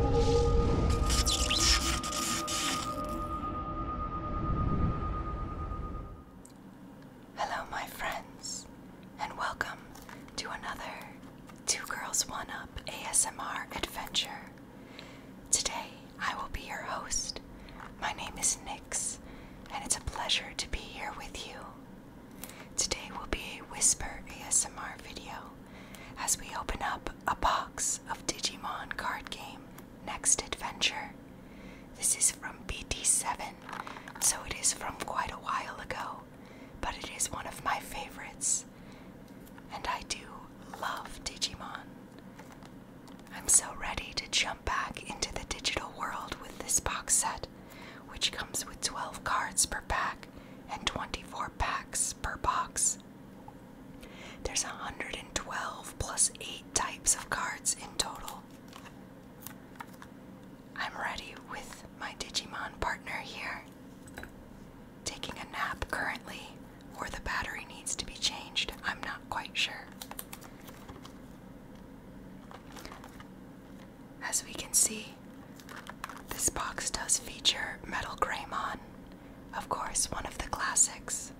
Hello, my friends, and welcome to another Two Girls One Up ASMR adventure. Today I will be your host. My name is Nix, and it's a pleasure to be here with you. Today will be a whisper ASMR video as we open up a box of Digimon card game Next Adventure. This is from bd 7 so it is from quite a while ago, but it is one of my favorites. And I do love Digimon. I'm so ready to jump back into the digital world with this box set, which comes with 12 cards per pack and 24 packs per box. There's 112 plus 8 types of cards in total. I'm ready with my Digimon partner here. Taking a nap currently, or the battery needs to be changed. I'm not quite sure. As we can see, this box does feature Metal Graymon. Of course, one of the classics.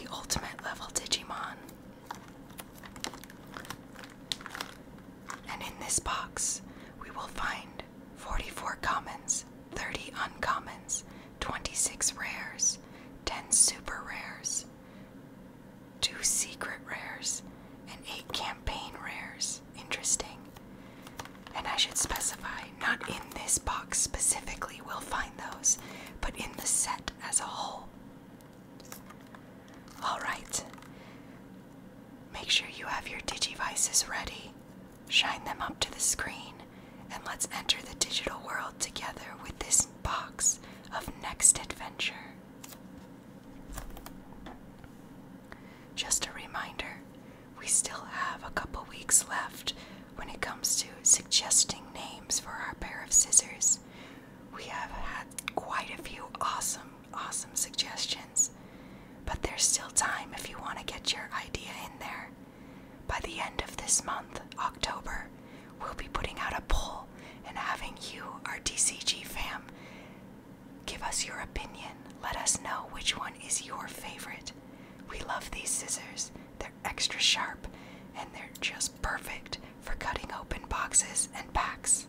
The ultimate level Digimon. And in this box, we will find 44 commons, 30 uncommons, 26 rares, 10 super rares, 2 secret rares, and 8 campaign rares interesting. And I should specify, not in this box specifically, we'll find those, but in the set as a whole. Alright. Make sure you have your digivices ready. Shine them up to the screen, and let's enter the digital world together with this box of Next Adventure. Just a reminder we still have a couple weeks left when it comes to suggesting names for our pair of scissors. We have had quite a few awesome, awesome suggestions, but there's still time if you want to get your idea in there. By the end of this month, October, we'll be putting out a poll and having you, our DCG fam, give us your opinion. Let us know which one is your favorite. We love these scissors. They're extra sharp and they're just perfect for cutting open boxes and packs.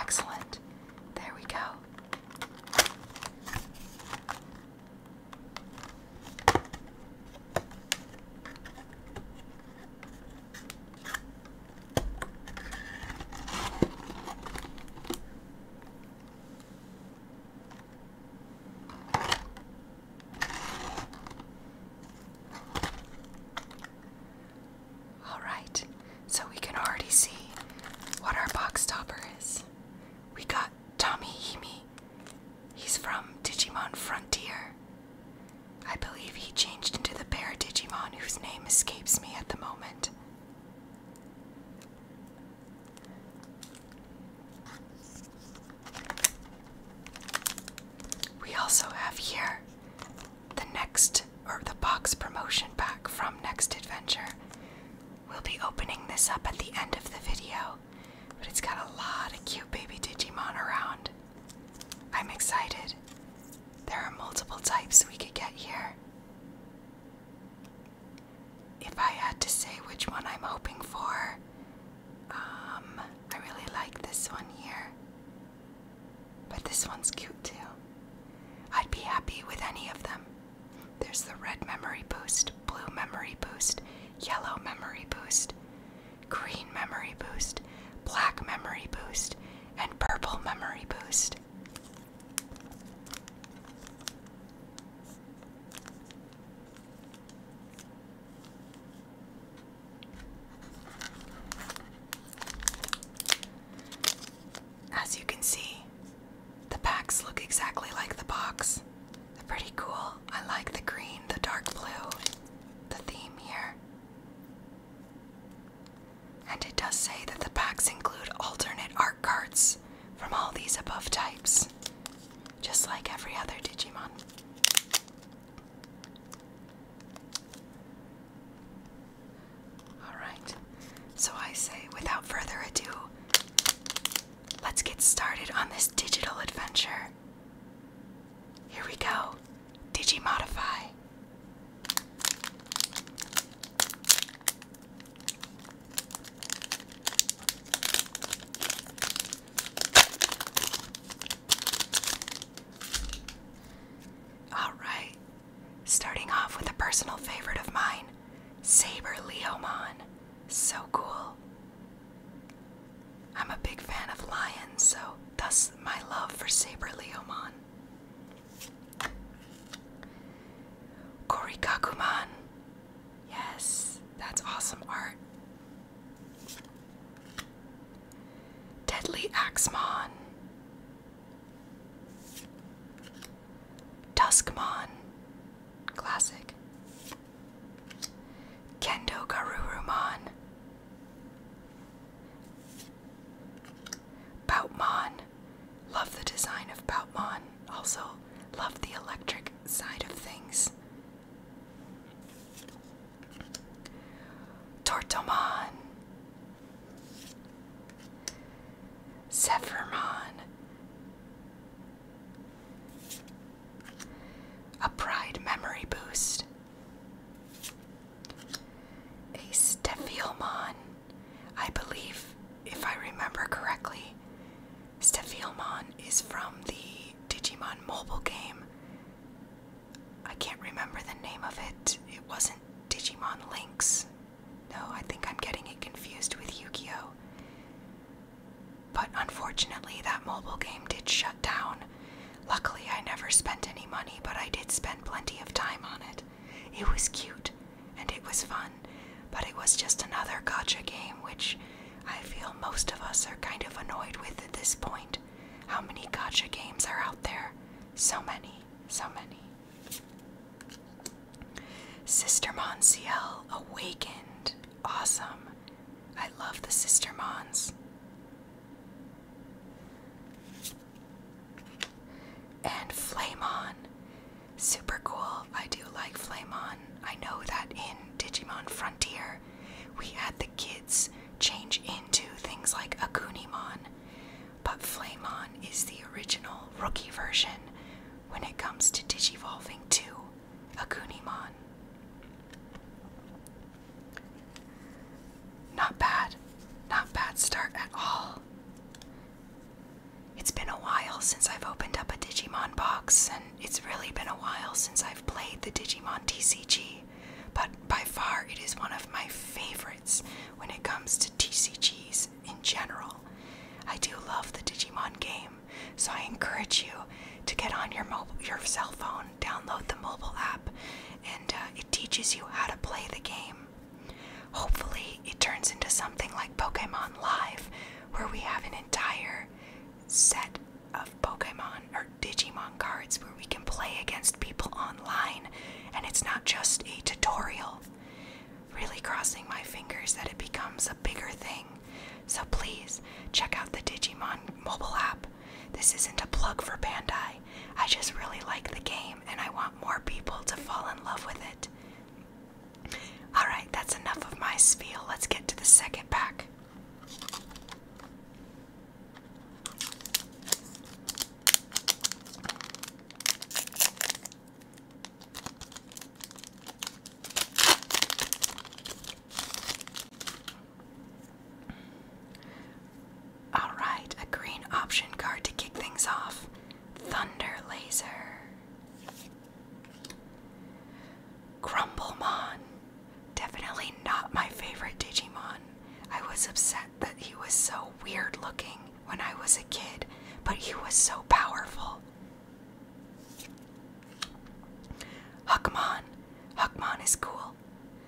Excellent. There we go. All right, so we can already see what our box topper is. We got Tommy Himi He's from Digimon Frontier. I believe he changed into the bear Digimon whose name escapes me at the moment. We also have here the next or the box promotion pack from Next Adventure. We'll be opening this up at the end of the video but it's got a lot of cute baby Digimon around. I'm excited. There are multiple types we could get here. If I had to say which one I'm hoping for, um, I really like this one here. But this one's cute too. I'd be happy with any of them. There's the red memory boost, blue memory boost, yellow memory boost green memory boost, black memory boost, and purple memory boost. As you can see, the packs look exactly like the box. They're pretty cool. I like the green, the dark blue, the theme here. And it does say that the packs include alternate art cards from all these above types, just like every other Digimon. Alright, so I say without further ado, Let's get started on this digital adventure. Here we go. Digimodify. All right. Starting off with a personal favorite of mine, Saber Leomon. So cool. I'm a big fan of lions, so thus my love for Saber Leomon. Korikakuman. Yes, that's awesome art. Deadly axmon, Tuskmon. Classic. Kendo Garuruman, Poutmon. Love the design of Bautmon. Also, love the electric side of things. Tortomon, Zephyrmon, a pride memory boost, a Stephielmon. I believe, if I remember correctly, Stephielmon is from the Digimon mobile game. I can't remember the name of it. It wasn't Digimon Links. No, I think I'm getting it confused with Yu Gi Oh! But unfortunately, that mobile game did shut down. Luckily, I never spent any money, but I did spend plenty of time on it. It was cute and it was fun, but it was just another gotcha game, which I feel most of us are kind of annoyed with at this point. How many gotcha games are out there? So many, so many. Sister Monsiel Awakened Awesome. I love the Sister Mons. And Flamon. Super cool. I do like Flamon. I know that in Digimon Frontier, we had the kids change into things like Akunimon, but Flamon is the original rookie version when it comes to Digivolving too. A Akunimon. Not bad. Not bad start at all. It's been a while since I've opened up a Digimon box, and it's really been a while since I've played the Digimon TCG, but by far it is one of my favorites when it comes to TCGs in general. I do love the Digimon game. So I encourage you to get on your mobile, your cell phone, download the mobile app, and uh, it teaches you how to play the game. Hopefully, it turns into something like Pokemon Live, where we have an entire set of Pokemon or Digimon cards where we can play against people online, and it's not just a tutorial. Really crossing my fingers that it becomes a bigger thing so please check out the Digimon mobile app. This isn't a plug for Bandai. I just really like the game and I want more people to fall in love with it. Alright, that's enough of my spiel. Let's get to the second pack. Alright, a green option card to kick things off. Thunder Laser. Grumblemon. Definitely not my favorite Digimon. I was upset that he was so weird looking when I was a kid, but he was so powerful. Huckmon. Huckmon is cool.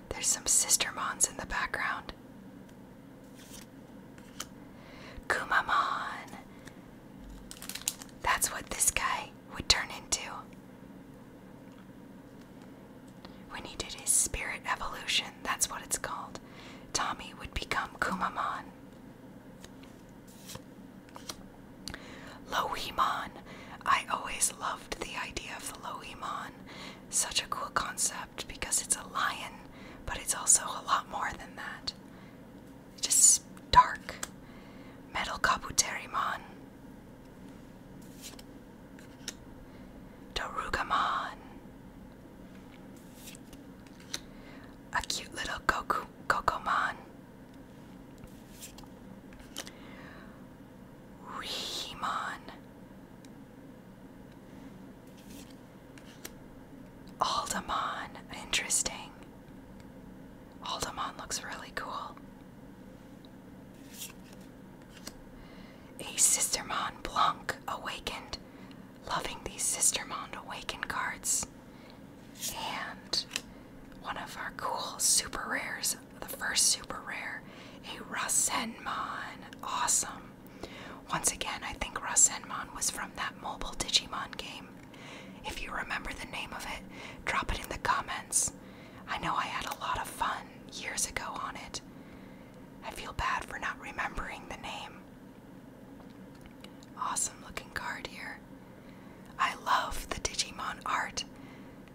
There's some sister mons in the background. Kumamon! That's what this guy would turn into. When he did his spirit evolution, that's what it's called. Tommy would become Kumamon. Lohemon. I always loved the idea of the Lohemon. Such a cool concept because it's a lion, but it's also a lot more than that. Just dark. Metal Kabuterimon. Dorugamon. A cute little Goku Gokomon. Rehemon. Aldemon. Interesting. Aldemon looks really cool. A Sistermon Blanc awakened. Loving these Sistermon awakened cards. And one of our cool super rares, the first super rare, a Rasenmon. Awesome. Once again, I think Rasenmon was from that mobile Digimon game. If you remember the name of it, drop it in the comments. I know I had a lot of fun years ago on it. I feel bad for not remembering the name. Awesome looking card here. I love the Digimon art.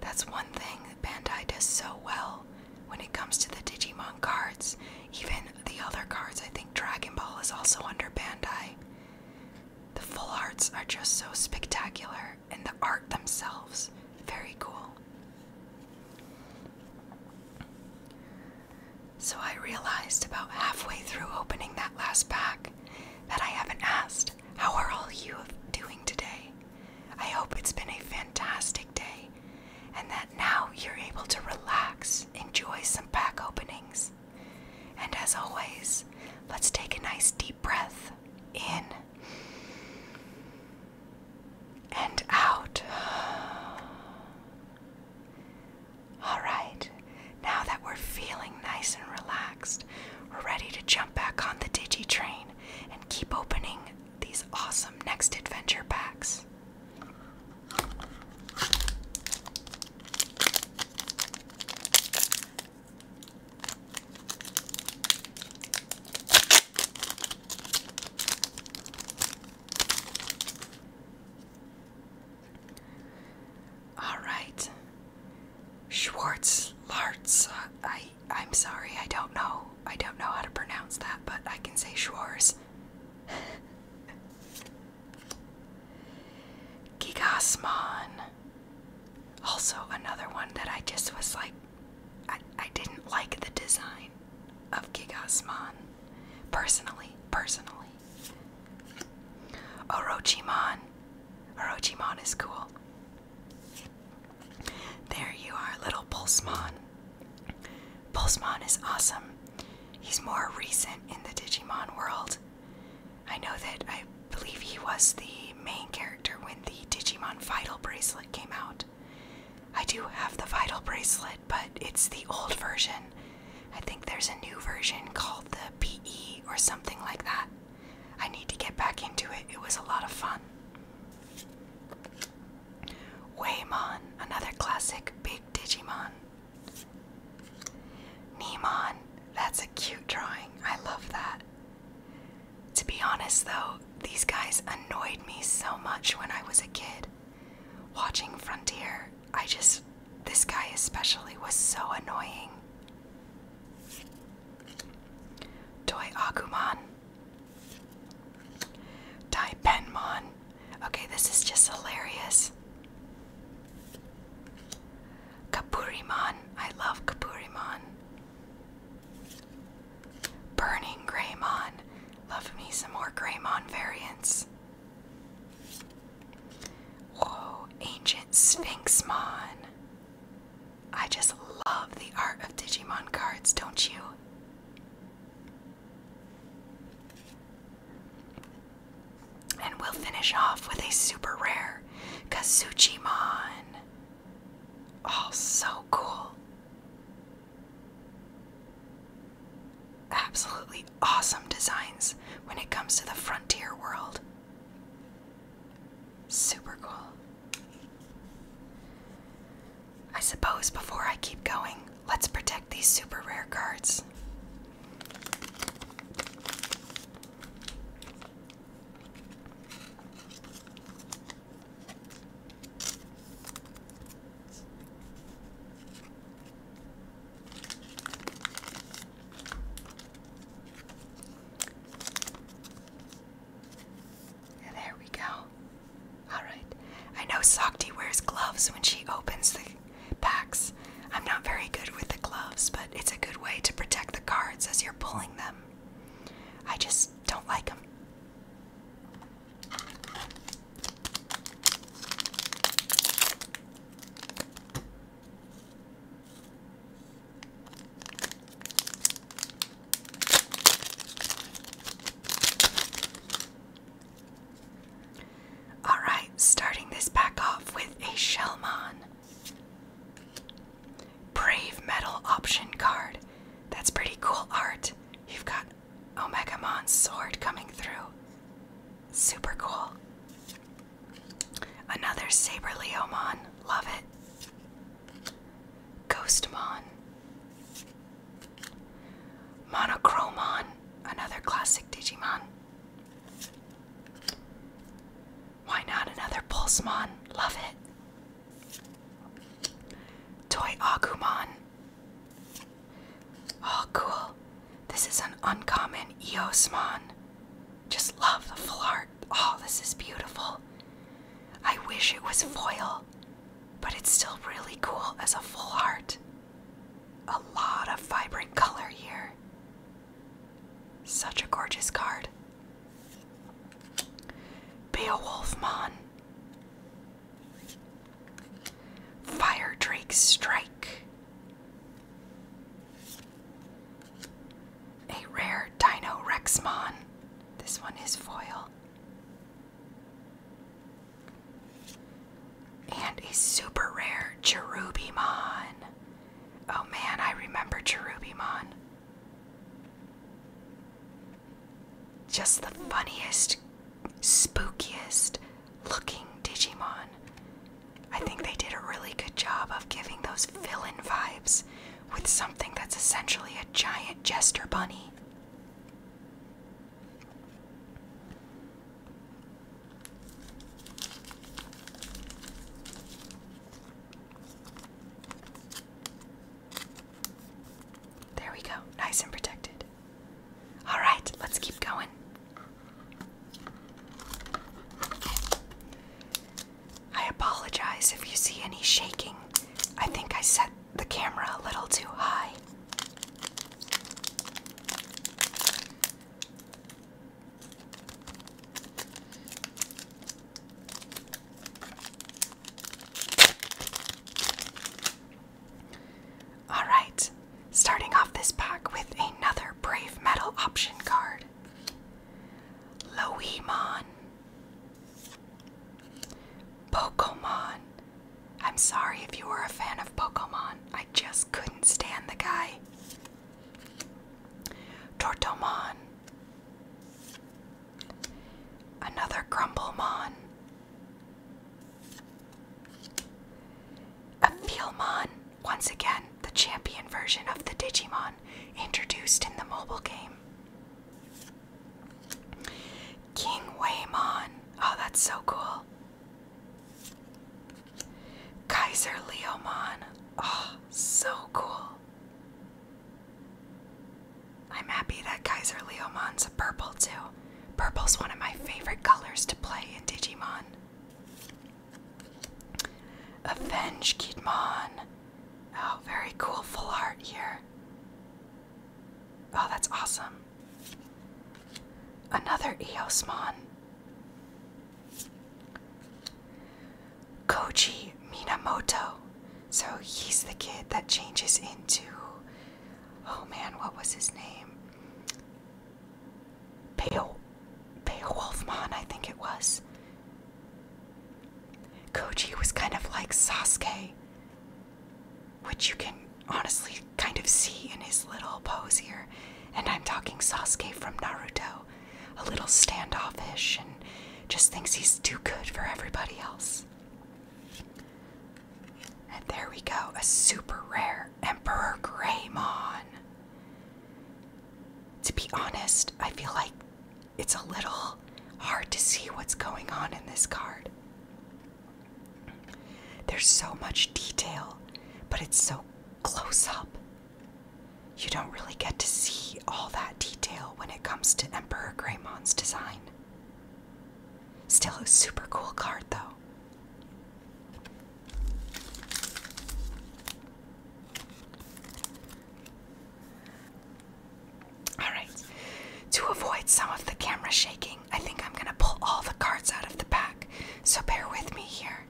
That's one thing Bandai does so well when it comes to the Digimon cards. Even the other cards, I think Dragon Ball is also under Bandai. The full arts are just so spectacular, and the art themselves, very cool. So I realized about halfway through opening that last pack that I haven't asked how are all you doing today? I hope it's been a fantastic day and that now you're able to relax, enjoy some pack openings. And as always, let's take a nice deep breath in and out. All right, now that we're feeling nice and relaxed, we're ready to jump back on the digi train and keep opening these awesome next adventure packs. All right, Schwartz Larts. I I am sorry, I don't know. I don't know how to pronounce that, but I can say Schwarz. Gigasmon. Also another one that I just was like I, I didn't like the design of Gigasmon. Personally, personally. Orochimon. Orochimon is cool. There you are, little Pulsmon. Pulsmon is awesome. He's more recent in the Digimon world. I know that I believe he was the main character when the Digimon Vital Bracelet came out. I do have the Vital Bracelet, but it's the old version. I think there's a new version called the PE or something like that. I need to get back into it. It was a lot of fun. Waymon, another classic big Digimon. Nimon, that's a cute drawing. I love that. To be honest though, these guys annoyed me so much when I was a kid. Watching Frontier, I just, this guy especially was so annoying. Toy Agumon. Taipenmon. Okay, this is just hilarious. Kapurimon. I love Kapurimon. Burning Greymon. Love me some more Greymon variants. Oh, Ancient Sphinxmon. I just love the art of Digimon cards, don't you? And we'll finish off with a super rare Kazuchimon. Oh, so cool. Absolutely awesome designs when it comes to the frontier world. Super cool. I suppose before I keep going, let's protect these super rare cards there we go. Alright. I know Sakti wears gloves when she opens the packs. I'm not very good with the gloves, but it's a good way to protect the cards as you're pulling them. I just don't like them. All right, starting this back off with a Shellmon. Brave Metal option card. That's pretty cool art. You've got Omega Omegamon's sword coming through. Super cool. Another Saber Leomon. Love it. Ghostmon. Monochromon, another classic Digimon. Why not another Pulsemon? Love it. Toy Agumon. Oh, cool. This is an uncommon Eosmon. Just love the full Oh, this is beautiful. I wish it was foil, but it's still really cool as a full heart. A lot of vibrant color here. Such a gorgeous card. Beowulf Mon. Fire Drake Strike. A rare Dino Rexmon. This one is foil. And a super rare Cherubimon. Oh man, I remember Cherubimon. Just the funniest, spookiest looking Digimon. I think they did a really good job of giving those villain vibes with something that's essentially a giant jester bunny. There we go, nice and protected. All right, let's keep going. I apologize if you see any shaking. I think I set the camera a little too high. Alright, starting off this pack with another Brave Metal option card. Loemon. Pokemon. I'm sorry if you were a fan of Pokemon. I just couldn't stand the guy. Tortomon. Another Grumblemon. A Feelmon. Once again, the champion version of the Digimon introduced in the mobile game. King Waymon. Oh, that's so cool. Kaiser Leomon. Oh, so cool. I'm happy that Kaiser Leomon's a purple too. Purple's one of my favorite colors to play in Digimon. Avenge Kidmon. Oh, very cool full art here. Oh, that's awesome. Another Eosmon. Koji Minamoto. So he's the kid that changes into. Oh man, what was his name? Beowulfmon, I think it was. Koji was kind of like Sasuke, which you can honestly kind of see in his little pose here. And I'm talking Sasuke from Naruto, a little standoffish and just thinks he's too good for everybody else. And there we go, a super rare Emperor Greymon. To be honest, I feel like it's a little hard to see what's going on in this card. There's so much detail, but it's so close up. You don't really get to see all that detail when it comes to Emperor Greymon's design. Still a super cool card, though. Alright, to avoid some of the camera shaking, I think I'm going to pull all the cards out of the pack, so bear with me here.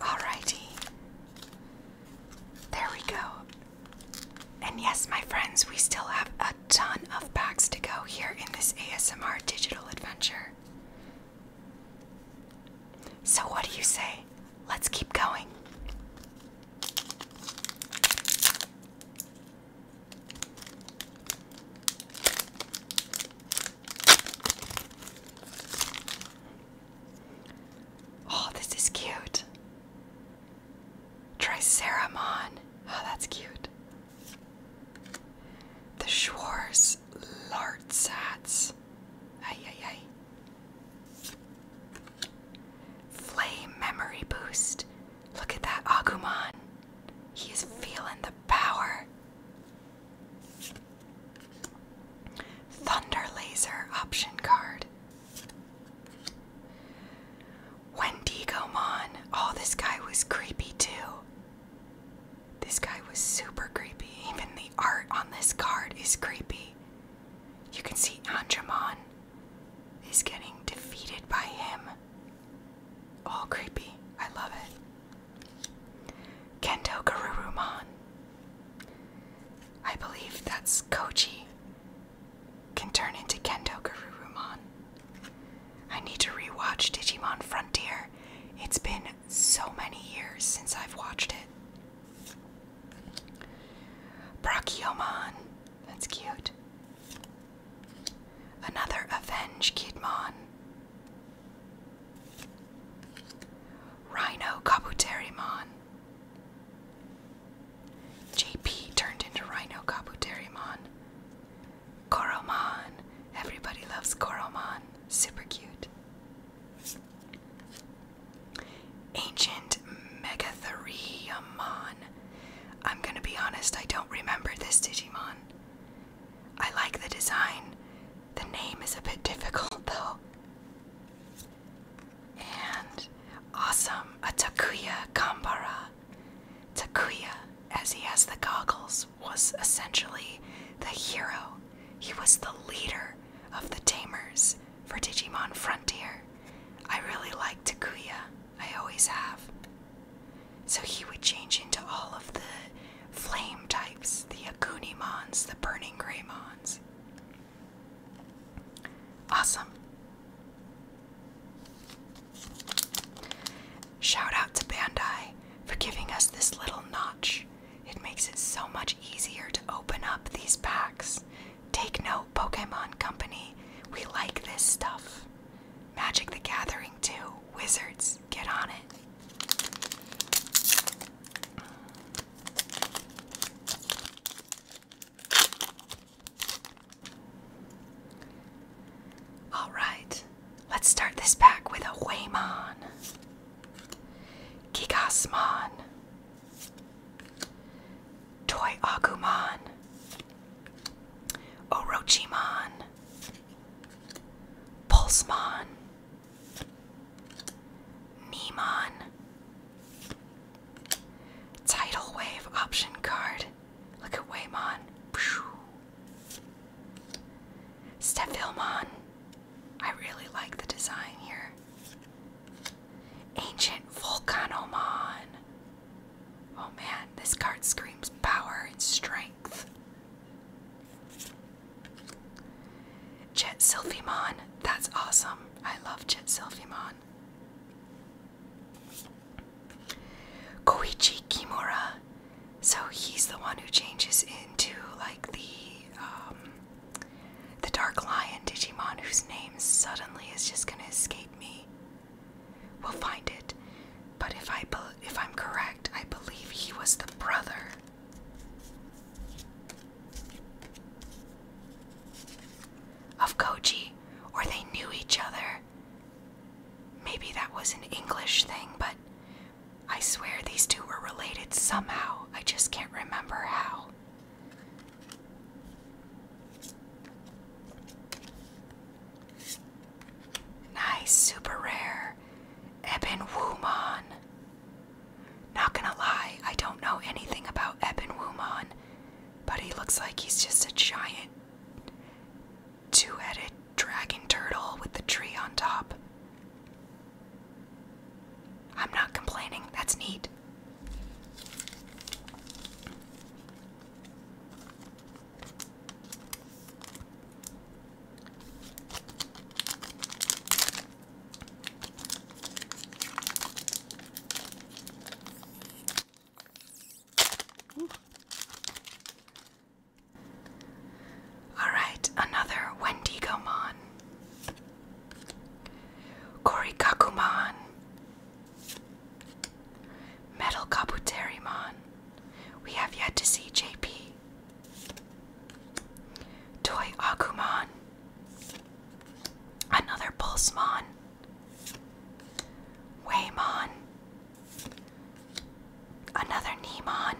Alrighty. There we go. And yes, my friends, we still have a ton of packs to go here in this ASMR digital adventure. So, what do you say? Let's keep going. Oh, this is cute. Triceramon. Oh, that's cute. The Schwarz Lartsatz. Ay, ay, ay. Flame memory boost. Look at that Agumon. He is feeling the power. Thunder laser option card. Wendigo Mon. Oh, this guy was creepy too. This guy was super creepy. Even the art on this card is creepy. You can see Anjamon is getting defeated by him. All creepy. I love it. Kento Garurumon. I believe that's Koichi can turn into Kendo Garurumon. I need to rewatch Digimon Frontier. It's been so many years since I've watched it. Brachiomon. That's cute. Another Avenge Kidmon. Rhino Kabuterimon. JP turned into Rhino Kabuterimon. Koromon! Everybody loves Koromon. Super cute. Ancient Megatheriamon. I'm gonna be honest, I don't remember this Digimon. I like the design. The name is a bit difficult though. And awesome, Atakuya Kambara. Takuya, as he has the goggles, was essentially the hero. He was the leader of the Tamers for Digimon Frontier. I really like Takuya, I always have. So he would change into all of the flame types the Akunimons, the Burning Greymons. Awesome. Shout out to Bandai for giving us this little notch. It makes it so much easier to open up these packs. Take note, Pokemon Company, we like this stuff. Magic the Gathering, too. Wizards, get on it. All right, let's start this pack with a Waymon, Gigasmon, Toy Orochimon, Pulsemon, Nemon, Tidal Wave option card, Look at Waymon. Steph I really like the design here. Ancient Volcanomon. Oh man, this card screams power and strength. Jet Silphimon. That's awesome. I love Jet Silphimon. Koichi Kimura. So he's the one who changes into like the um, the Dark Lion Digimon, whose name suddenly is just gonna escape me. We'll find it, but if I if I'm correct, I believe he was the brother. Of Koji, or they knew each other. Maybe that was an English thing, but I swear these two were related somehow. I just can't remember how. Nice, super rare. Ebon Wumon. Not gonna lie, I don't know anything about Ebon Wumon, but he looks like he's just a giant two-headed dragon turtle with the tree on top. I'm not complaining, that's neat. All right, another Wendigomon. Korikakumon. Metal Kabuterimon. We have yet to see JP. Toy Agumon. Another Pulsemon. Waymon. Another Nemon.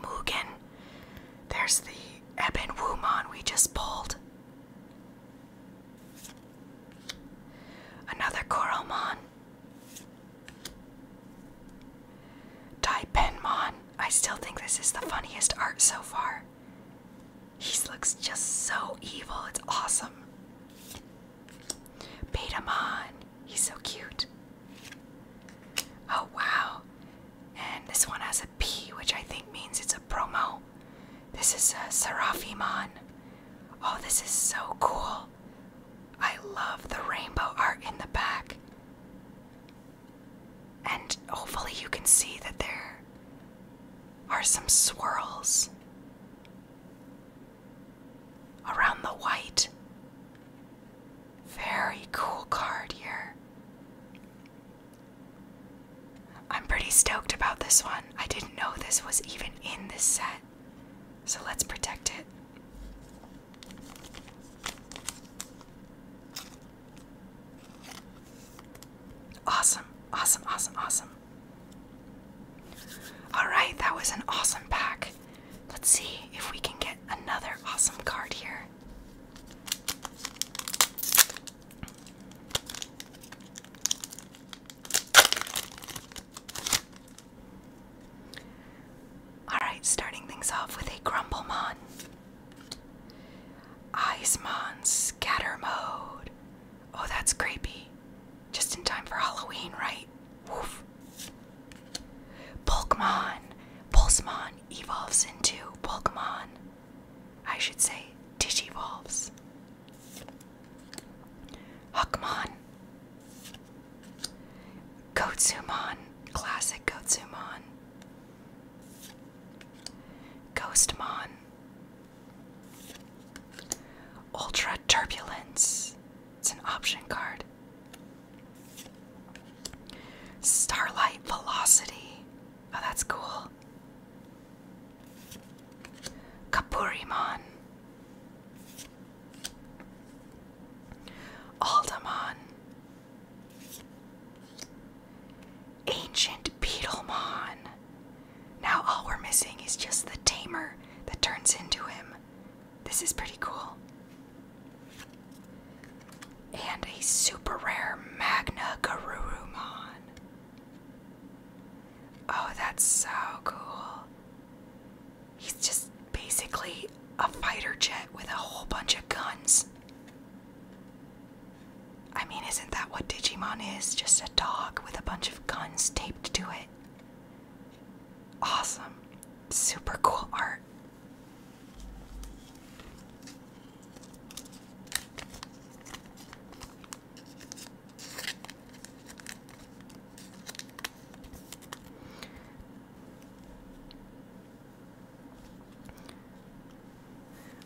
Mugen. There's the Ebon Wumon we just pulled. Another Coromon. Taipenmon. I still think this is the funniest art so far. He looks just so evil. It's awesome. Beat him on. He's so cute. Oh, wow. And this one has a P, which I think means it's a promo. This is a Seraphimon. Oh, this is so cool. I love the rainbow art in the back. And hopefully, you can see that they're are some swirls around the white. Very cool card here. I'm pretty stoked about this one. I didn't know this was even in this set, so let's protect it. Awesome, awesome, awesome, awesome. Alright, that was an awesome pack. Let's see if we can get another awesome card here. Alright, starting things off with a Grumblemon. Icemon Scatter Mode. Oh, that's creepy. Just in time for Halloween, right? Woof. Pokemon. Pulsemon evolves into Pokemon. I should say Digivolves. Huckmon. Goatsumon. Classic Goatsumon. Ghostmon. Ultra Turbulence. It's an option card. Starlight Velocity. Oh, that's cool. Kapurimon. Aldamon. Ancient Beetlemon. Now all we're missing is just the tamer that turns into him. This is pretty cool. And a super rare Magna Garurumon. Oh, that's so cool. He's just basically a fighter jet with a whole bunch of guns. I mean, isn't that what Digimon is? Just a dog with a bunch of guns taped to it. Awesome. Super cool art.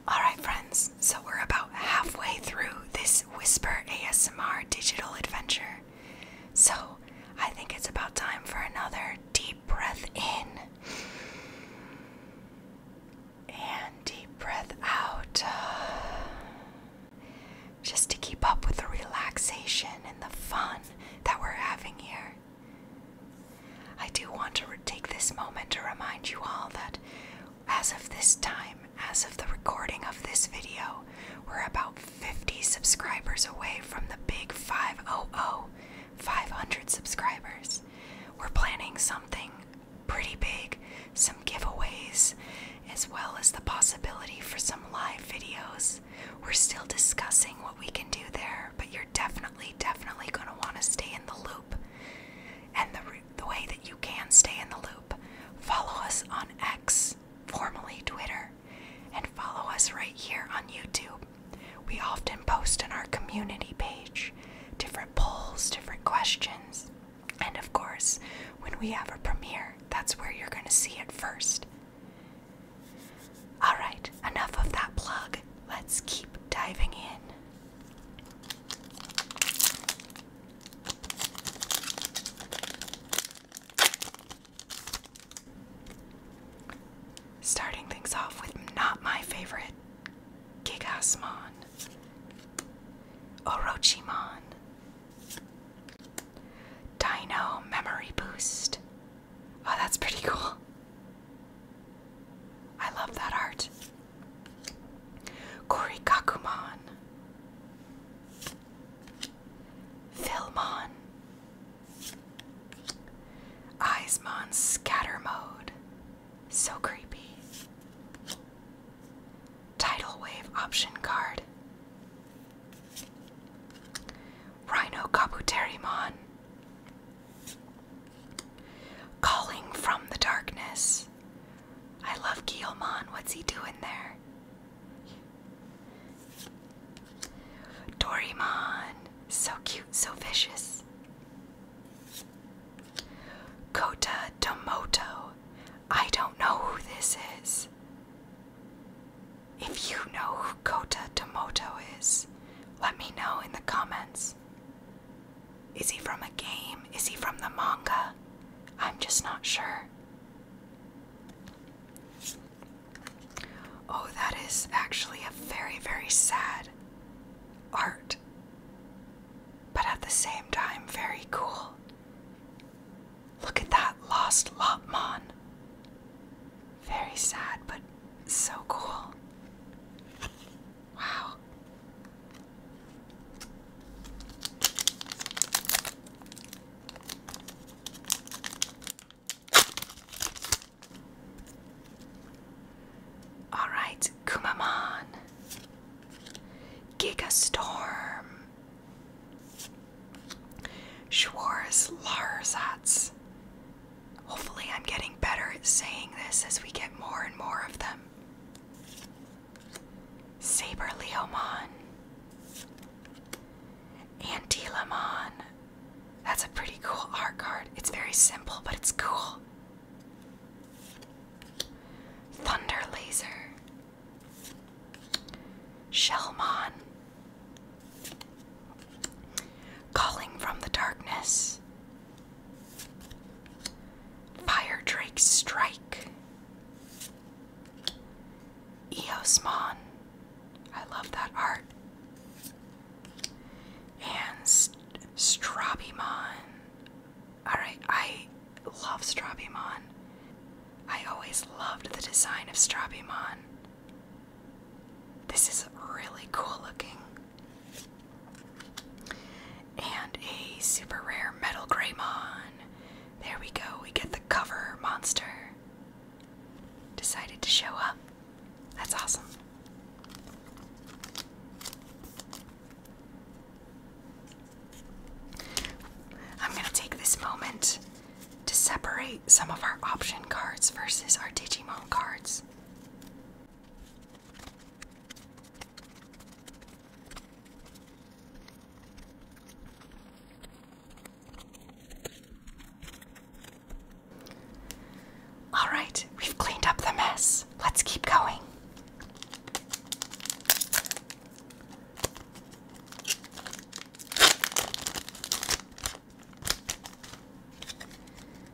Alright, friends, so we're about halfway through this Whisper ASMR digital adventure. So I think it's about time for another deep breath in. And deep breath out. Just to keep up with the relaxation and the fun that we're having here. I do want to take this moment to remind you all that as of this time, as of the recording of this video, we're about 50 subscribers away from the big 500, 500 subscribers. We're planning something pretty big, some giveaways, as well as the possibility for some live videos. We're still discussing what we can do there, but you're definitely, definitely going to want to stay in the loop. And the the way that you can stay in the loop, follow us on X, formerly Twitter, and follow us right here on YouTube. We often post on our community page different polls, different questions, and of course, when we have a premiere, that's where you're going to see it first. Alright, enough of that plug. Let's keep diving in. Starting things off with not my favorite Gigasmon, Orochimon, Dino Memory Boost. Oh, that's pretty cool. I love that art. Korikakumon, Philmon, Eismon Scatter so creepy. Tidal Wave option card. Rhino Kabuterimon. Calling from the darkness. I love Guillemon. What's he doing there? Dorimon. So cute, so vicious. Kota Tomoto. I don't know who this is. If you know who Kota Tomoto is, let me know in the comments. Is he from a game? Is he from the manga? I'm just not sure. Oh, that is actually a very, very sad art, but at the same time, very cool. Look at that lost Lotmon. Very sad, but so cool. Wow. All right, Kumamon. Giga Storm. Schwarz Hopefully, I'm getting better at saying this as we get more and more of them. Saber Leomon, Antilamon. That's a pretty cool art card. It's very simple, but it's cool. Thunder Laser, Shellmon, Calling from the Darkness, Fire Drake Strike. Eosmon. I love that art. And St Strabimon. Alright, I love Strabimon. I always loved the design of Strabimon. This is really cool looking and a super rare Metal Graymon. There we go, we get the cover monster. Decided to show up. That's awesome. I'm going to take this moment to separate some of our option cards versus our Digimon cards. All right, we've cleaned up the mess. Let's keep going.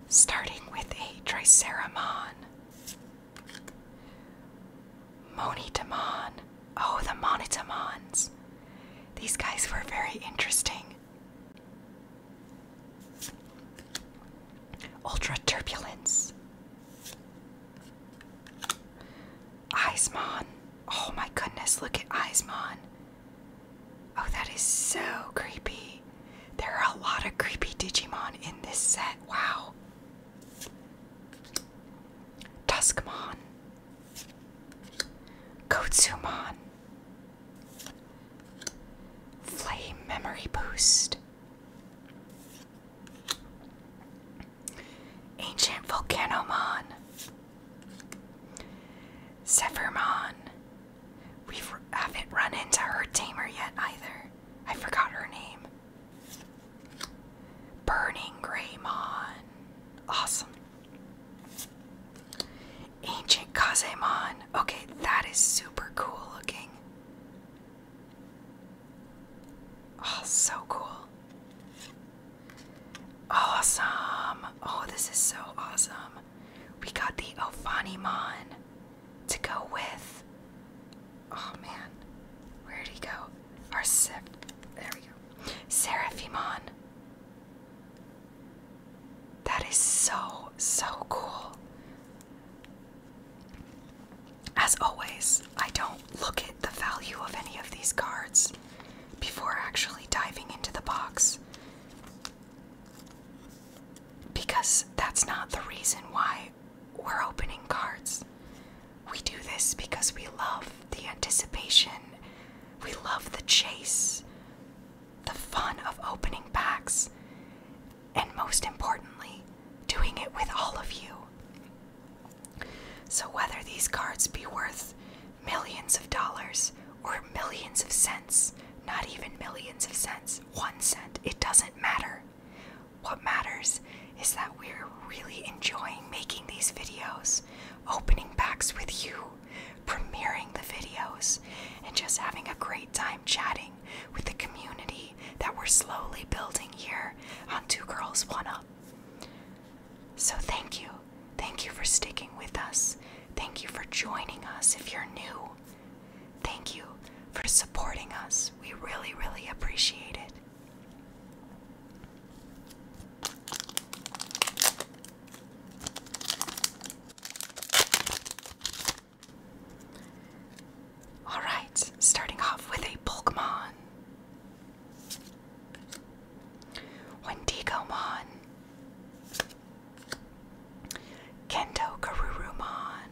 Starting with a Triceramon. Monitamon. Oh, the Monitamons. These guys were very interesting. Ultra Turbulence. Ismon. Oh my goodness, look at Ismon. Oh, that is so creepy. There are a lot of creepy Digimon in this set. Wow. Tuskmon, Kotsumon, Flame Memory Boost, Ancient Volcanomon, Zephyrmon. We haven't run into her tamer yet either. I forgot her name. Burning Greymon. Awesome. Ancient Kazemon. Okay, that is super cool looking. Oh, so cool. Awesome. Oh, this is so awesome. We got the Ophanimon to go with. Oh man, where did he go? Are Sep there we go. Seraphimon. That is so, so cool. As always, I don't look at the value of any of these cards before actually diving into the box because that's not the reason why we're opening cards. We do this because we love the anticipation, we love the chase, the fun of opening packs, and most importantly, doing it with all of you. So, whether these cards be worth millions of dollars or millions of cents, not even millions of cents, one cent, it doesn't matter. What matters is that we're really enjoying making these videos, opening packs with you, premiering the videos, and just having a great time chatting with the community that we're slowly building here on Two Girls One Up. So thank you. Thank you for sticking with us. Thank you for joining us if you're new. Thank you for supporting us. We really, really appreciate it. All right, starting off with a Pokemon. Mon, Kendo Karurumon.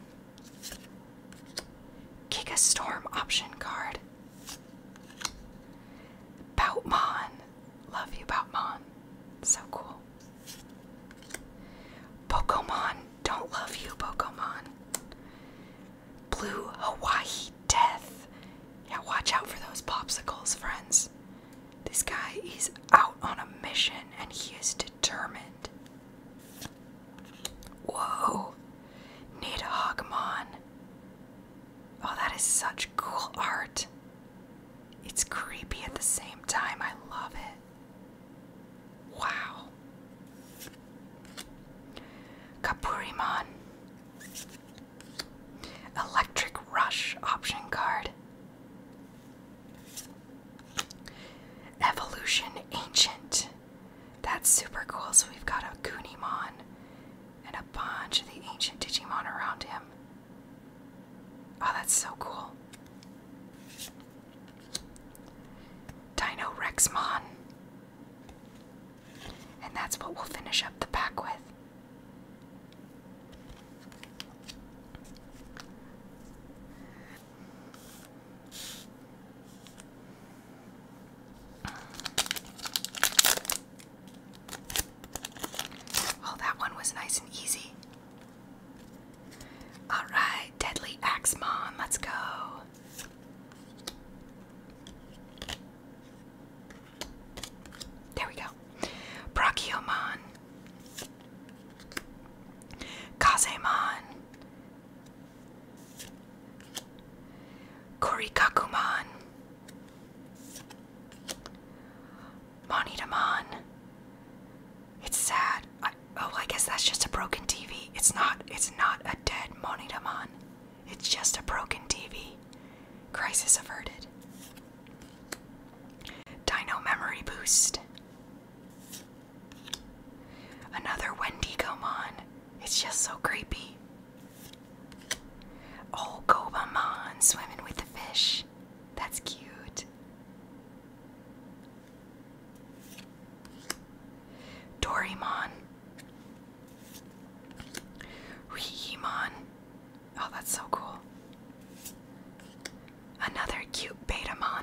Kika Storm option card. Boutmon. Love you, Boutmon. So cool. Pokemon. Don't love you, Pokemon. Blue Hawaii Death. Yeah, watch out for those popsicles, friends. This guy is out on a mission and he is determined. Whoa! Nita Hogmon. Oh, that is such cool art. It's creepy at the same time. I love it. Wow. Kapurimon. Electric Rush option card. Evolution Ancient. That's super cool. So we've got a Kunimon and a bunch of the ancient Digimon around him. Oh, that's so cool. Dino Rexmon. And that's what we'll finish up the pack with. Well, oh, that one was nice and easy. All right, Deadly Axe Mon, let's go. There we go. Brachiomon. Kazemon. Korikakuman Monitaman. It's sad. oh, I guess that's just a broken TV. It's not. It's not a dead Monitaman. It's just a broken TV. Crisis averted. Dino memory boost. Another Wendigomon. It's just so creepy. Oh, Gobamon swimming with the fish. That's cute. Dorimon. Riimon. Oh, that's so cool. Another cute Betamon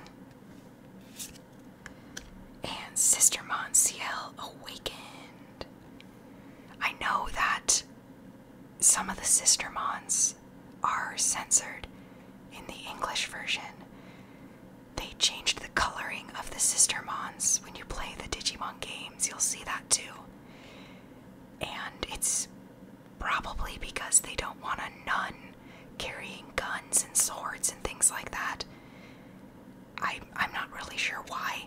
and Sister Monsiel awakened. I know that some of the Sister Mons are censored in the English version. They changed the coloring of the Sister Mons. When you play the Digimon games, you'll see that too. And it's probably because they don't want a nun carrying guns and swords and things like that. I, I'm not really sure why.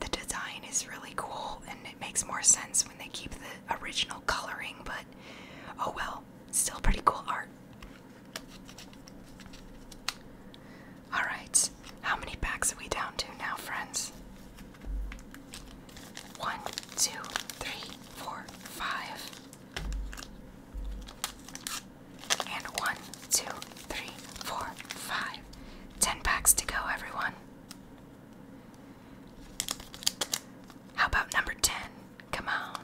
The design is really cool and it makes more sense when they keep the original coloring, but oh well, still pretty cool art. Alright, how many packs are we down to now, friends? One, two, three, four, five. And one, two, three, four, five. Ten packs to go, everyone. How about number 10? Come on.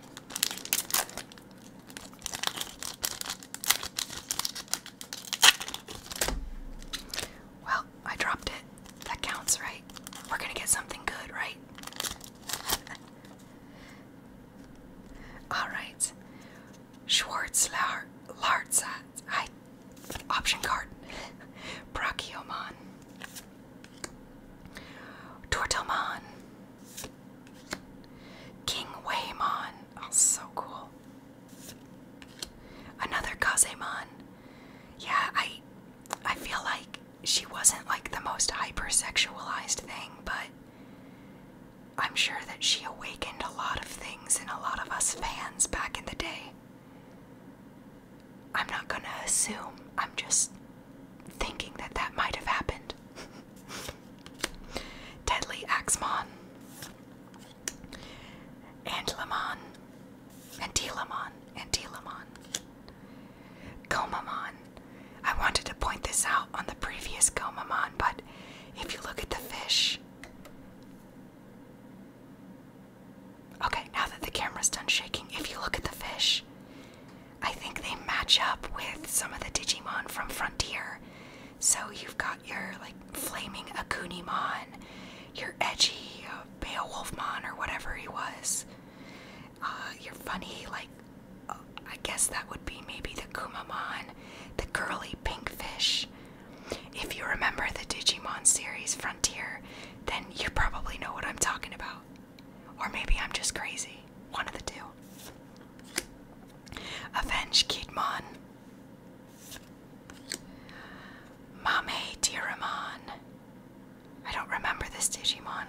Well, I dropped it. That counts, right? We're gonna get something good, right? Alright. Schwartz Lartzat. I option card. Brachioman. Tortelmon. King Waymon. Oh, so cool. Another Kazemon. Yeah, I I feel like she wasn't like the most hypersexualized thing, but I'm sure that she awakened a lot of things in a lot of us fans back in the day. I'm not gonna assume, I'm just thinking that that might have happened. Deadly Axmon, and Lamon, and Telamon, and Telamon, Gomamon. I wanted to point this out on the previous Gomamon, but if you look at the fish. Okay, now that the camera's done shaking, if you look at the fish, I think they match up with some of the Digimon from Frontier. So you've got your like flaming Akunimon, your edgy uh, Beowulfmon or whatever he was, uh, your funny like I guess that would be maybe the Kumamon, the curly pink fish. If you remember the Digimon series Frontier, then you probably know what I'm talking about. Or maybe I'm just crazy. One of the two. Avenge Kidmon. Mame Tiramon. I don't remember this Digimon.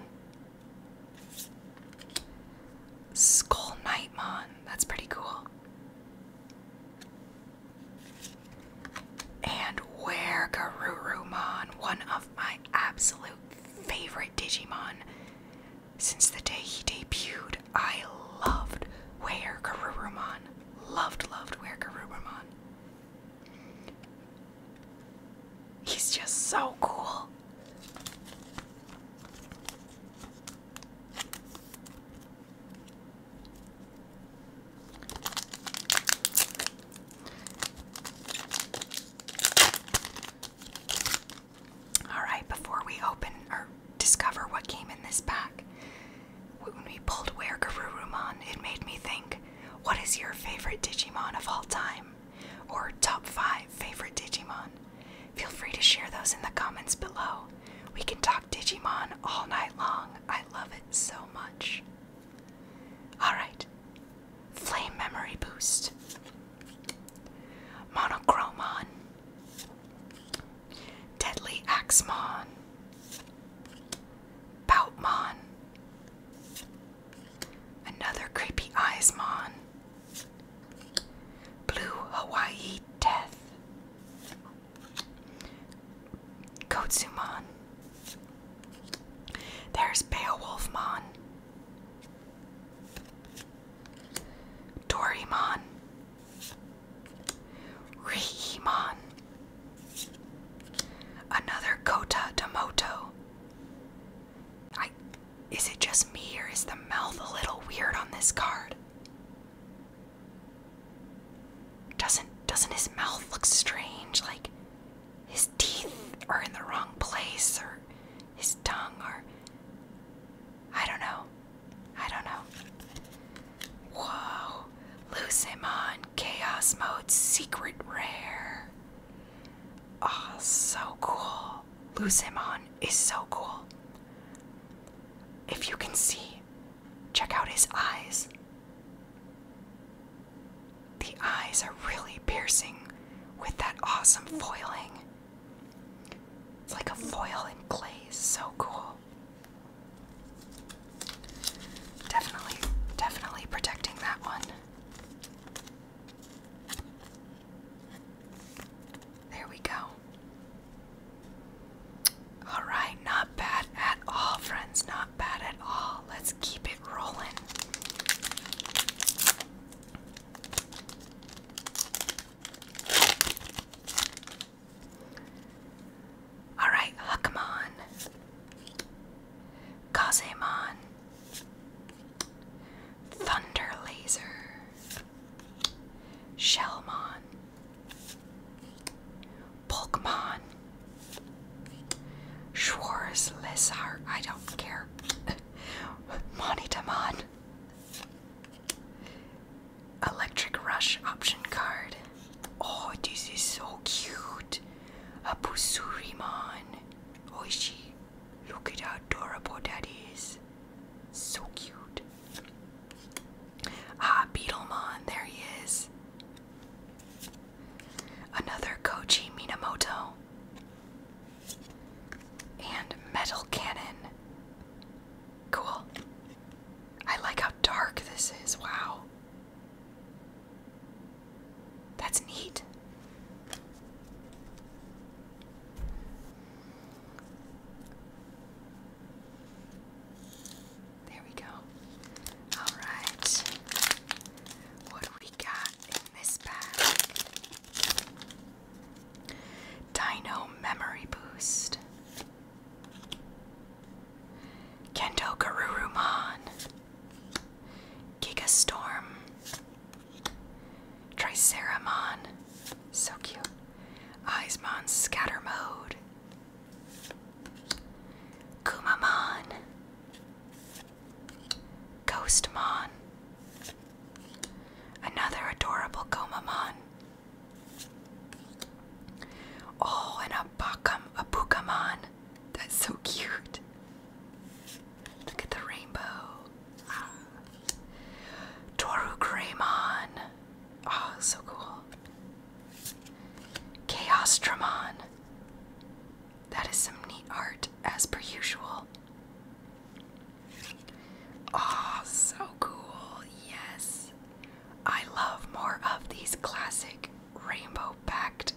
Skull Nightmon. That's pretty cool. And where Garurumon, one of my absolute favorite Digimon. Since the day he debuted, I loved Where Garurumon. Loved, loved Where Garurumon. He's just so cool. All right, before we open or discover what came in this pack, when we pulled Where Garurumon, it made me think, what is your favorite Digimon of all time? Or top 5 favorite Digimon? Feel free to share those in the comments below. We can talk Digimon all night long. I love it so much. Alright, Flame Memory Boost. Monochromon. Deadly Axemon. Boutmon. Another creepy Eyesmon. Blue Hawaii Death, Kotsuman. There's Beowulfmon, Dorimon, Riimon, another Kota Demoto. Is it just me or is the mouth a little weird on this card? Doesn't doesn't his mouth look strange? Like his teeth are in the wrong place or his tongue or I don't know. I don't know. Whoa. Loose him on Chaos Mode Secret Rare. Oh, so cool. Lucimon is so cool. If you can see, check out his eyes. The eyes are really piercing with that awesome foiling. It's like a foil in glaze, so cool. Definitely, definitely protecting that one. There we go. Alright, not bad at all, friends. Not bad at all. Let's keep it rolling. Alright, Hakamon. Kazemon. Thunder Laser. Shelmon, Pokemon, Schwarz Lizard, I don't care, Monitamon, Electric Rush option card. Oh, this is so cute. A Busurimon. Oishi, oh, look at how adorable that is. So cute. Ah, Beetlemon, there he is. Another Koichi Minamoto. And Metal Cannon. Cool. I like how dark this is. Wow. That's neat. There we go. All right. What do we got in this bag? Dino Memory Boost. Kendo Garurumon. Giga Storm. Triceramon. So cute. Eismon Scatter Mode, Kumamon, Ghostmon, another adorable Gomamon. Oh, and a Bakam, That's so cute. Look at the rainbow. Ah. Toru Greymon. Oh, so cool. Chaos Dramon. That is some neat art, as per usual. Oh, so cool. Yes. I love more of these classic rainbow packed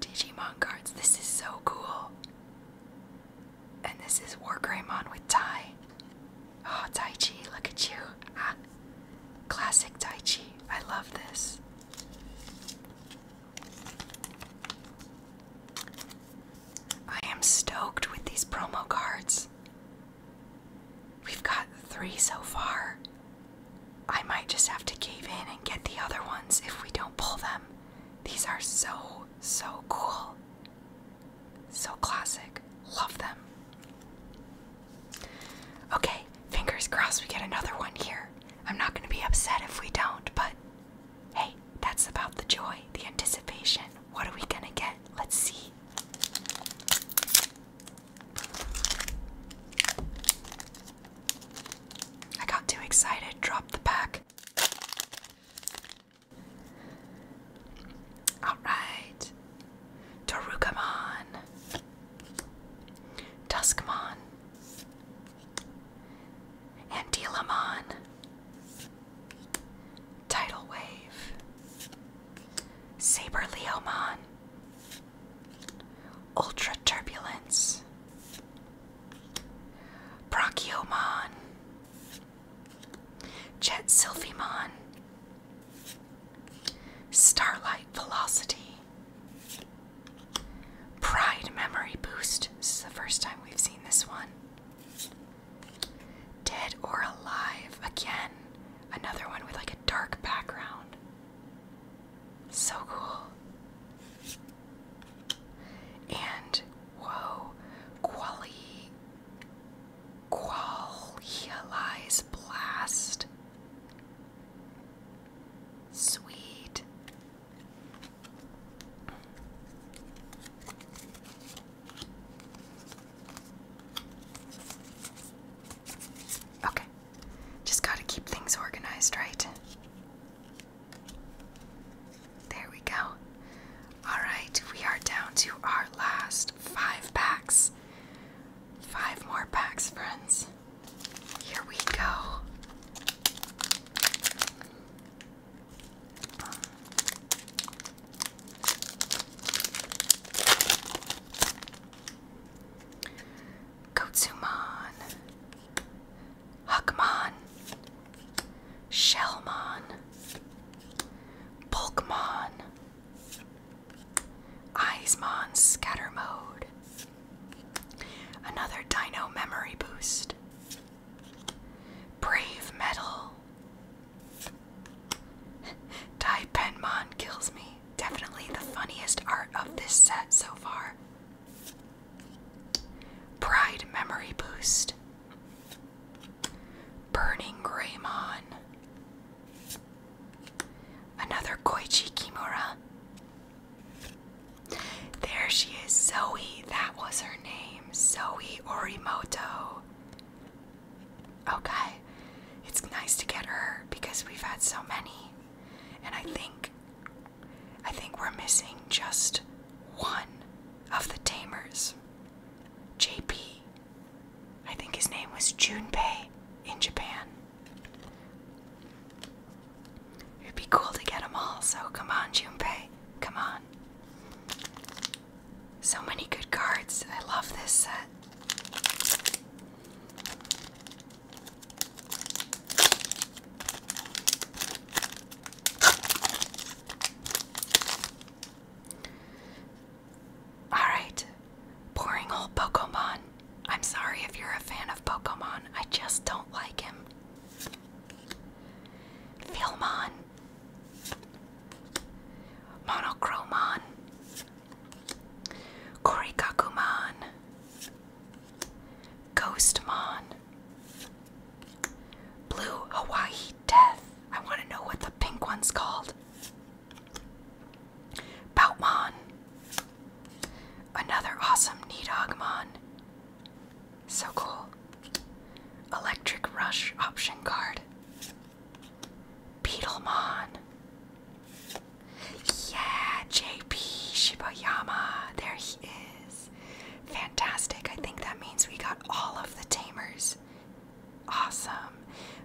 Digimon cards. This is so cool. And this is Wargreymon with Tai. Oh, Tai Chi, look at you. Ah, classic Tai Chi. I love this. I am stoked with these promo cards. We've got three so far. I might just have to cave in and get the other ones if we don't pull them. These are so, so cool. So classic. Love them. Okay, fingers crossed we get another one here. I'm not going to be upset if we don't, but hey, that's about the joy, the anticipation. What are we going to get? Let's see. I got too excited, dropped the pack. Alright. Torukamon. Duskmon. Antilamon. Tidal Wave. Saber Leomon. Ultra Turbulence. Brachiomon. Jet Silphimon, Starlight Velocity, Pride Memory Boost. This is the first time we've seen this one. Dead or Alive, again, another one with like a dark background. So cool. And whoa, Quali Qual blast. Sweet. Okay. Just got to keep things organized, right? There we go. Alright, we are down to our last five packs. Five more packs, friends. Here we go. Kotsumon, Huckmon, Shellmon, Bulkmon, Icemon Scatter Mode, another Dino Memory Boost, Brave Metal, Dipenmon kills me. Definitely the funniest art of this set so far. Pride Memory Boost. Burning Greymon. Another Koichi Kimura. There she is, Zoe. That was her name. Zoe Orimoto. Okay. It's nice to get her because we've had so many. And I think I think we're missing just one of the tamers. JP. I think his name was Junpei in Japan. It'd be cool to get them all, so come on, Junpei. Come on. So many good cards. I love this set. Alright. Boring old Pokemon. I'm sorry if you're a fan of Pokemon. I just don't like him. Philmon. Monochromon. Korikakumon. Ghostmon. Blue Hawaii death. I want to know what the pink one's called. Boutmon. Another awesome Nidogmon. So cool. Electric Rush option card. Beetlemon. Yeah, JP Shibayama. There he is. Fantastic. I think that means we got all of the tamers Awesome.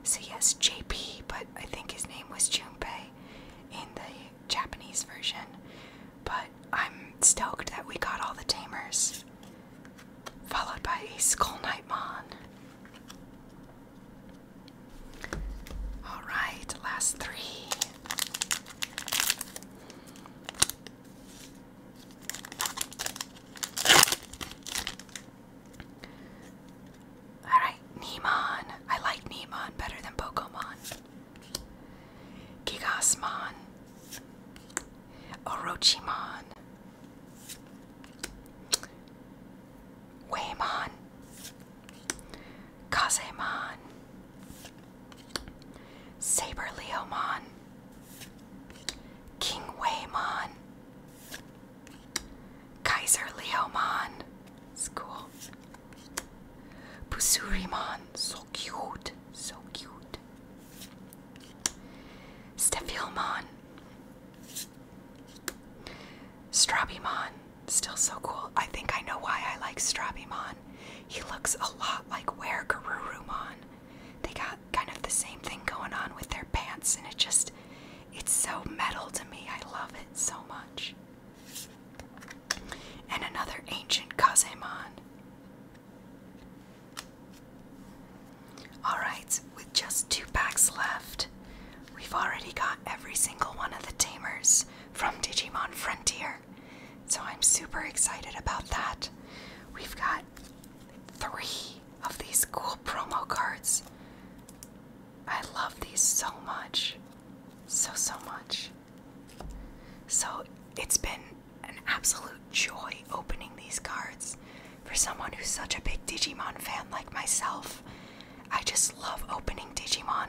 So, yes, JP, but I think his name was Junpei in the Japanese version. But I'm stoked that we got all the tamers, followed by a Skull Nightmon. Alright, last three. Alright, Neemon. I like Neemon better than Pokemon. Gigasmon. Orochimon. Waymon. Kazemon. Saber Leo Mon. King Waymon. Kaiser Leoman, it's cool. Pusuriman, so cute, so cute. Stefilman, Strabimon, still so cool. I think I know why I like Strabimon. He looks a lot like Ware Garurumon. They got kind of the same thing going on with their pants and it just it's so metal to me. I love it so much. And another ancient Kazemon. Alright, with just two packs left, we've already got every single one of the tamers from Digimon Frontier. So I'm super excited about that. We've got three of these cool promo cards. I love these so much. So, so much. So, it's been an absolute joy opening these cards. For someone who's such a big Digimon fan like myself, I just love opening Digimon.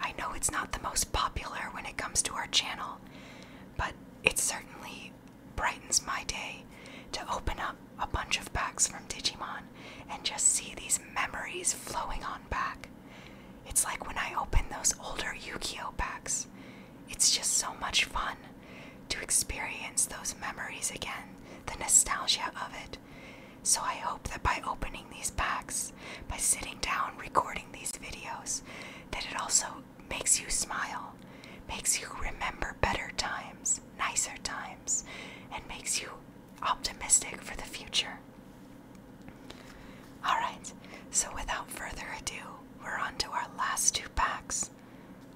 I know it's not the most popular when it comes to our channel, but it's certainly brightens my day to open up a bunch of packs from Digimon and just see these memories flowing on back. It's like when I open those older Yu Gi Oh! packs, it's just so much fun to experience those memories again, the nostalgia of it. So I hope that by opening these packs, by sitting down recording these videos, that it also makes you smile, makes you remember better times nicer times, and makes you optimistic for the future. Alright, so without further ado, we're on to our last two packs.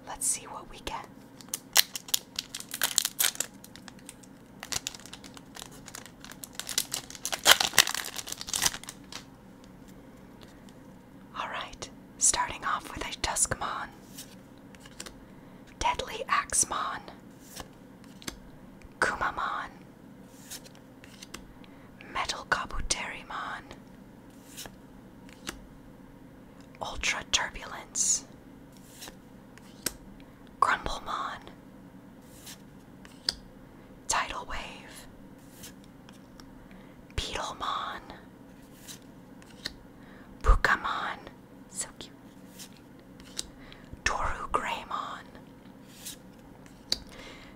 Let's see what we get. Alright, starting off with a Tuskmon, Deadly axmon, Kumamon, Metal Kabuterimon, ultraturbulence, Grumblemon, Tidal Wave, Beetlemon, Pukamon, so cute. Toru Graymon,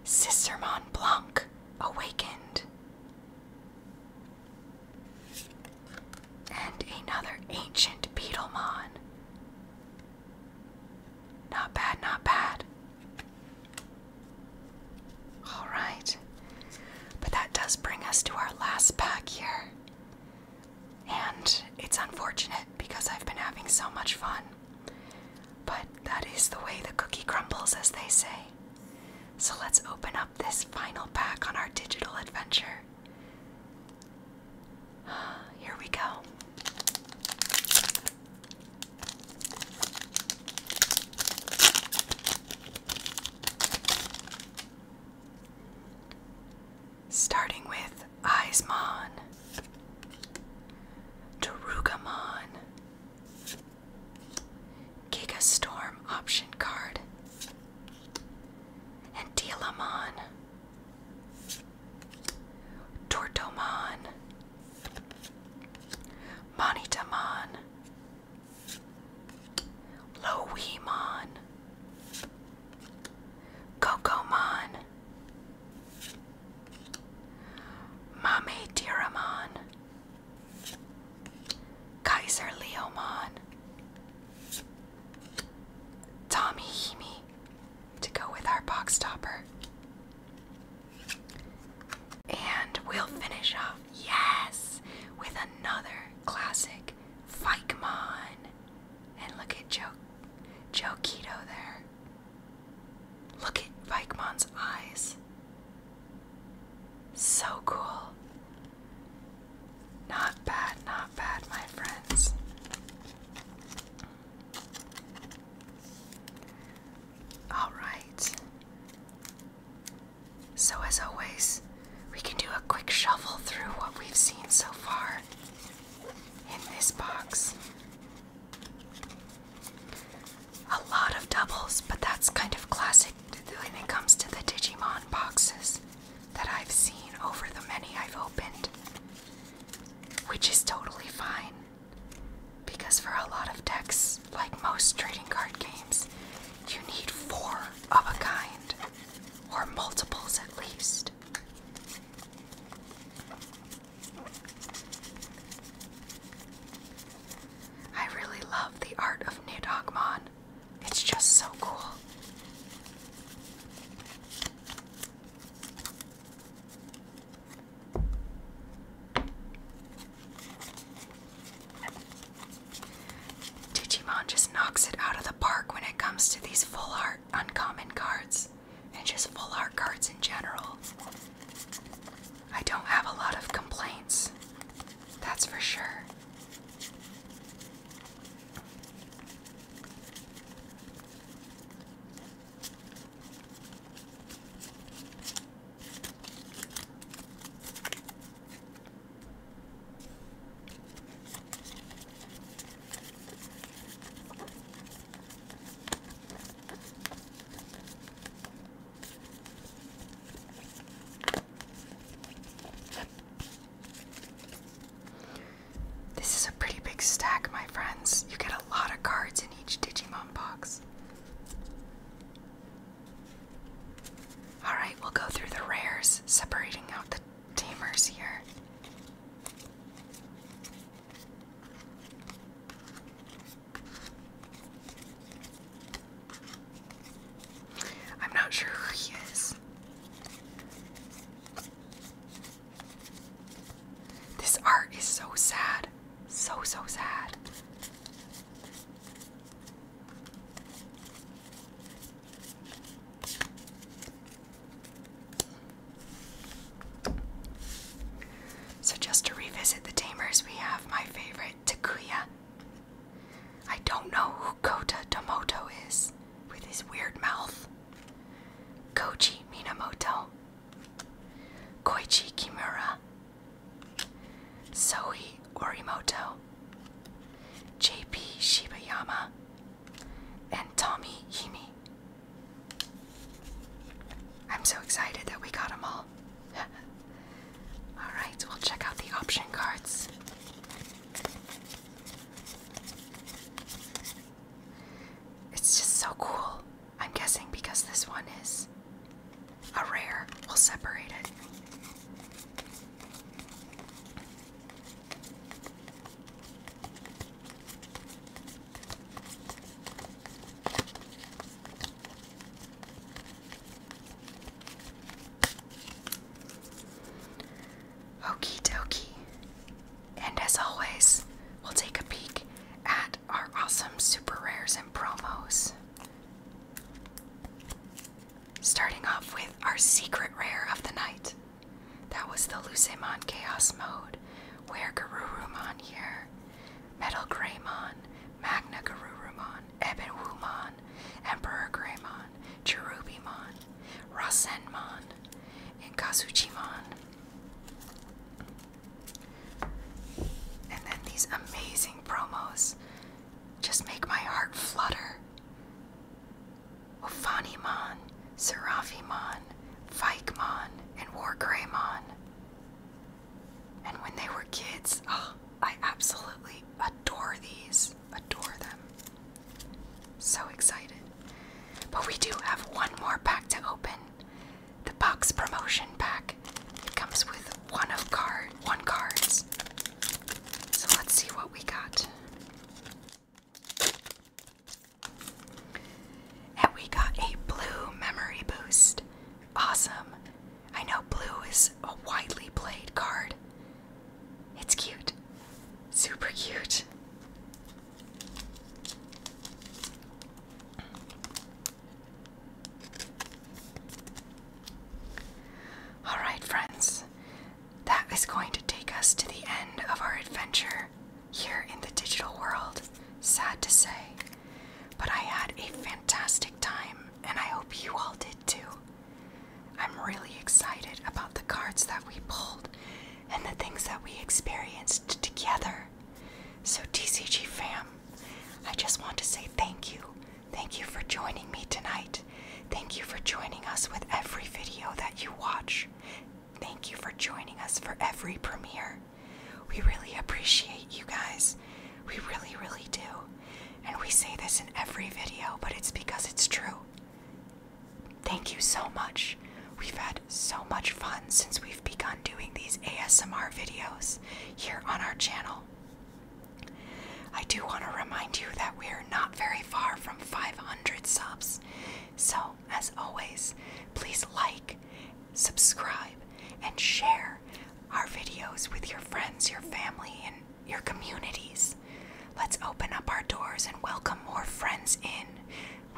Sistermon Blanc, awakened. And another ancient Beetlemon. Not bad, not bad. All right. But that does bring us to our last pack here. And it's unfortunate because I've been having so much fun. But that is the way the cookie crumbles, as they say. So let's open up this final pack on our digital adventure. Here we go. Starting with Aizmon, Terugamon, Giga Storm option card, and Dealamon, Tortomon, Monitamon, Loemon, Cocomon, Mame Tiramon, Kaiser Leomon, Tommy to go with our box topper. And we'll finish off yes, with another classic Fikemon. And look at Joe Jokito there. Look at Vikemon's eyes. So cool. Not bad, not bad, my friends. All right. So, as always, we can do a quick shuffle through what we've seen so far in this box. A lot of doubles, but that's kind of classic when it comes to the Digimon boxes that I've seen over the many I've opened, which is totally fine. Because for a lot of decks, like most trading card games, you need four of a kind, or multiples at least. I really love the art of Nidhogmon. It's just so cool. Digimon just knocks it out of the park when it comes to these full art uncommon cards and just full art cards in general. I don't have a lot of complaints, that's for sure. This is a pretty big stack, my friends. You get a lot of cards in each Digimon box. Alright, we'll go through the rares, separating out the tamers here. I'm not sure who he is. This art is so sad. So, so sad. So, just to revisit the Tamers, we have my favorite, Takuya. I don't know who Kota Tomoto is with his weird mouth. Koichi Minamoto. Koichi Kimura. Zoe Orimoto. JP Shibayama, and Tommy Hime. I'm so excited that we got them all. Alright, we'll check out the option cards. It's just so cool. I'm guessing because this one is a rare, we'll separate it. Okie dokie. And as always, we'll take a peek at our awesome super rares and promos. Starting off with our secret rare of the night. That was the Lucemon Chaos Mode, where Garurumon here, Metal Graymon, Magna Garurumon, Ebon Emperor Graymon, Cherubimon, Rasenmon, and Kasuchimon, And then these amazing promos just make my heart flutter. Wafaniman, Serafimon, Fikemon, and Wargreymon. And when they were kids, oh, I absolutely adore these. Adore them. So excited. But we do have one more pack to open. The box promotion pack. It comes with one of card one cards. So let's see what we got. And we got a blue memory boost. Awesome. I know blue is a widely played card. It's cute. Super cute. Alright, friends, that is going to take us to the end of our adventure here in the digital world, sad to say. But I had a fantastic time, and I hope you all did too. I'm really excited about the cards that we pulled and the things that we experienced together. So, TCG fam, I just want to say thank you Thank you for joining me tonight. Thank you for joining us with every video that you watch. Thank you for joining us for every premiere. We really appreciate you guys. We really, really do. And we say this in every video, but it's because it's true. Thank you so much. We've had so much fun since we've begun doing these ASMR videos here on our channel. I do want to remind you that we're not very far from 500 subs. So, as always, please like, subscribe, and share our videos with your friends, your family, and your communities. Let's open up our doors and welcome more friends in.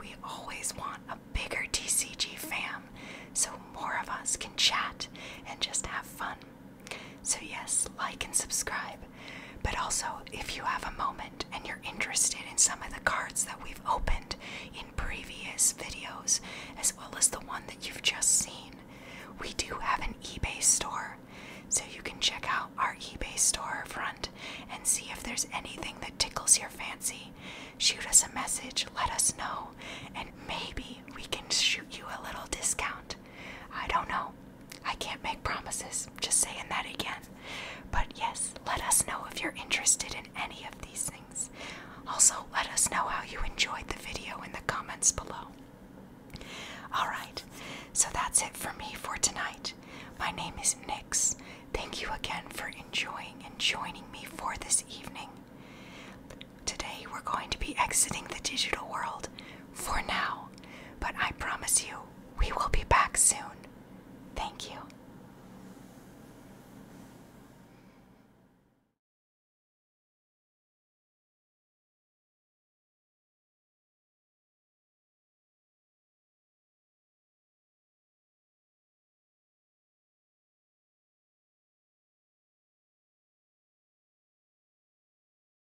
We always want a bigger TCG fam so more of us can chat and just have fun. So, yes, like and subscribe. But also, if you have a moment and you're interested in some of the cards that we've opened in previous videos, as well as the one that you've just seen, we do have an eBay store. So, you can check out our eBay store front and see if there's anything that tickles your fancy. Shoot us a message, let us know, and maybe we can shoot you a little discount. I don't know. I can't make promises, just saying that again. But yes, let us know if you're interested in any of these things. Also, let us know how you enjoyed the video in the comments below. Alright, so that's it for me for tonight. My name is Nix. Thank you again for enjoying and joining me for this evening. Today we're going to be exiting the digital world. For now, but I promise you we will be back soon. Thank you.